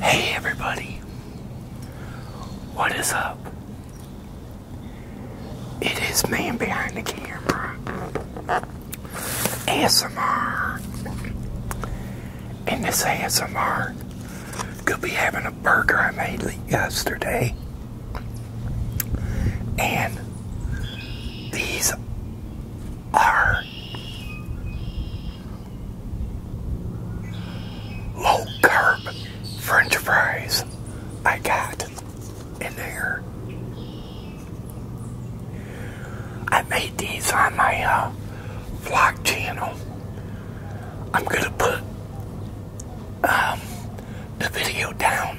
Hey everybody, what is up? It is man behind the camera, ASMR, and this ASMR could be having a burger I made yesterday, and these are low carb french fries I got in there. I made these on my uh, vlog channel. I'm going to put um, the video down.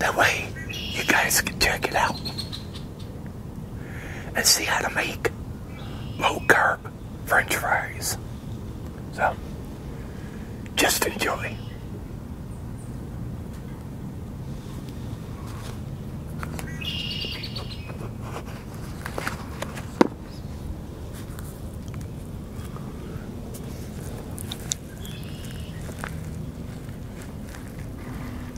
That way you guys can check it out and see how to make low carb french fries. So, just enjoy.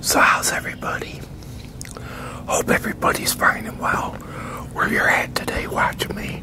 So, how's everybody? Hope everybody's fine and well where you're at today watching me.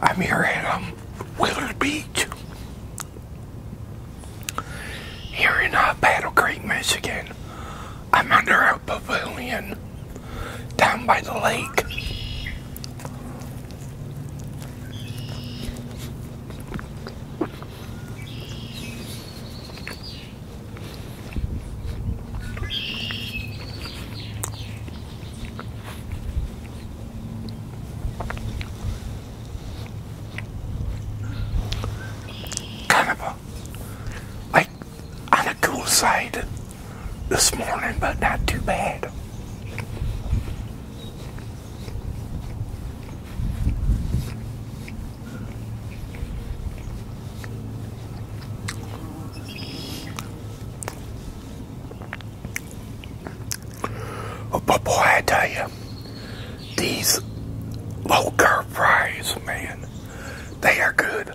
I'm here at um, Willard Beach here in uh, Battle Creek, Michigan. I'm under a pavilion down by the lake Kind of a, like, on the cool side this morning, but not too bad. Oh, boy, I tell you, these low carb fries, man, they are good.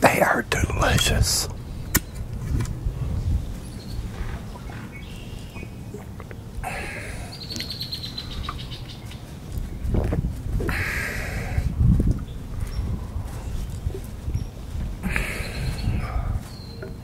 They are delicious.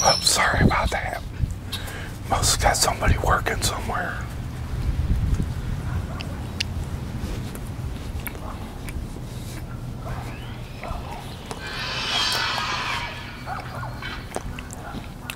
Oh, sorry about that. Must got somebody working somewhere.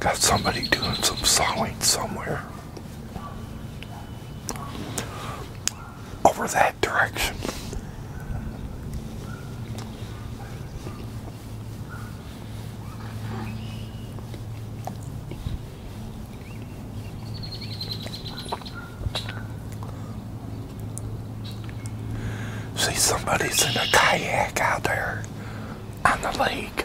Got somebody doing some sawing somewhere over that direction. See, somebody's in a kayak out there on the lake.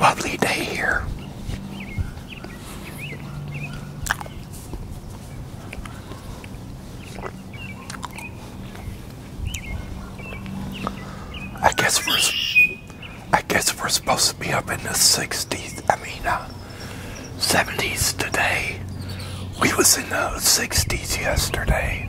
Lovely day here. I guess we're I guess we're supposed to be up in the 60s. I mean, uh, 70s today. We was in the 60s yesterday.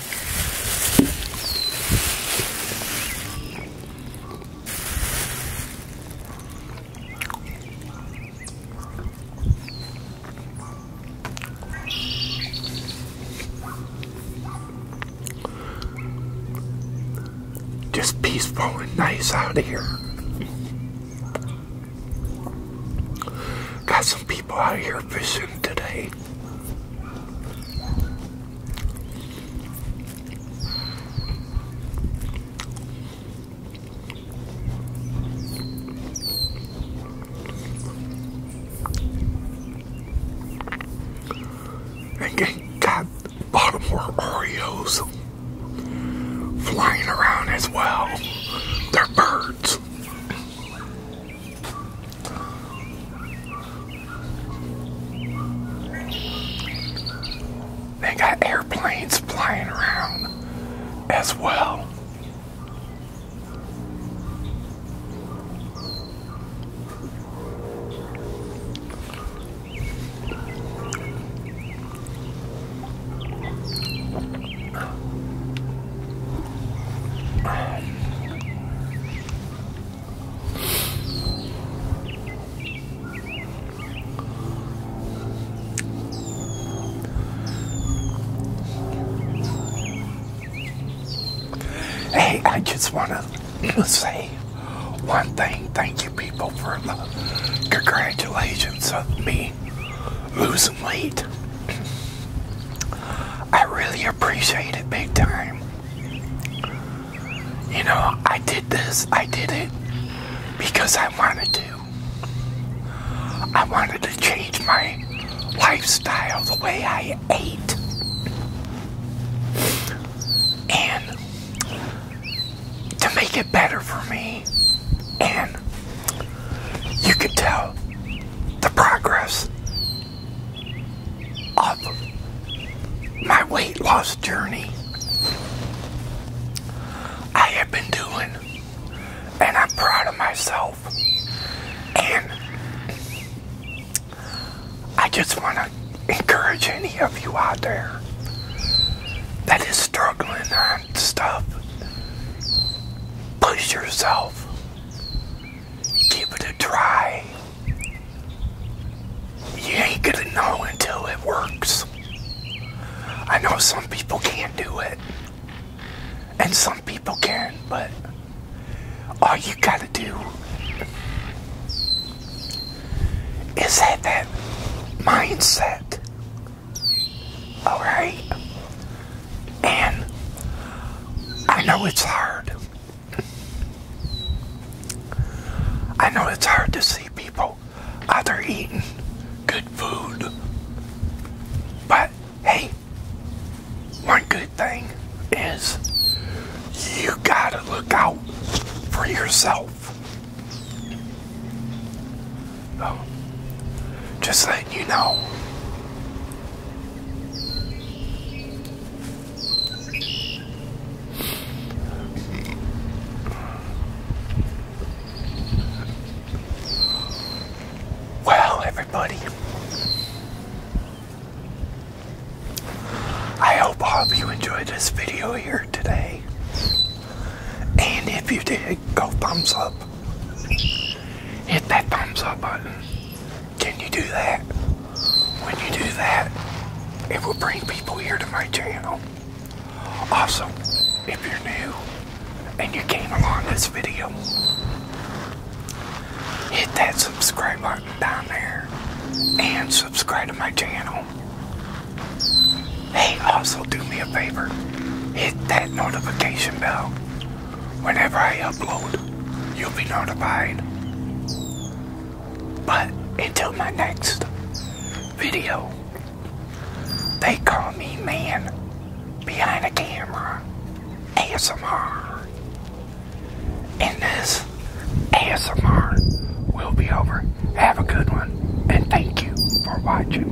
Just peaceful and nice out here. Got people out here fishing today. And got Baltimore Oreos flying around as well. They're birds. They got airplanes flying around as well. Hey, I just want to say one thing. Thank you, people, for the congratulations of me losing weight. I really appreciate it big time. You know, I did this, I did it because I wanted to. I wanted to change my lifestyle, the way I ate. And to make it better for me. And you could tell the progress of my weight loss journey. I have been doing, and I'm proud of myself. And I just want to encourage any of you out there that is struggling on stuff. Push yourself give it a try. You ain't gonna know until it works. I know some people can't do it, and some people can, but all you gotta do is have that mindset. Alright? And I know it's hard. I know it's hard to see people out there eating good food. But hey, one good thing is you gotta look out for yourself. Oh, just letting you know. Well, everybody, I hope all of you enjoyed this video here today. And if you did, go thumbs up hit that thumbs up button. Can you do that? When you do that, it will bring people here to my channel. Also, if you're new and you came along this video, hit that subscribe button down there and subscribe to my channel. Hey, also do me a favor, hit that notification bell whenever I upload, you'll be notified. But until my next video, they call me man behind the camera, ASMR. And this ASMR will be over. Have a good one, and thank you for watching.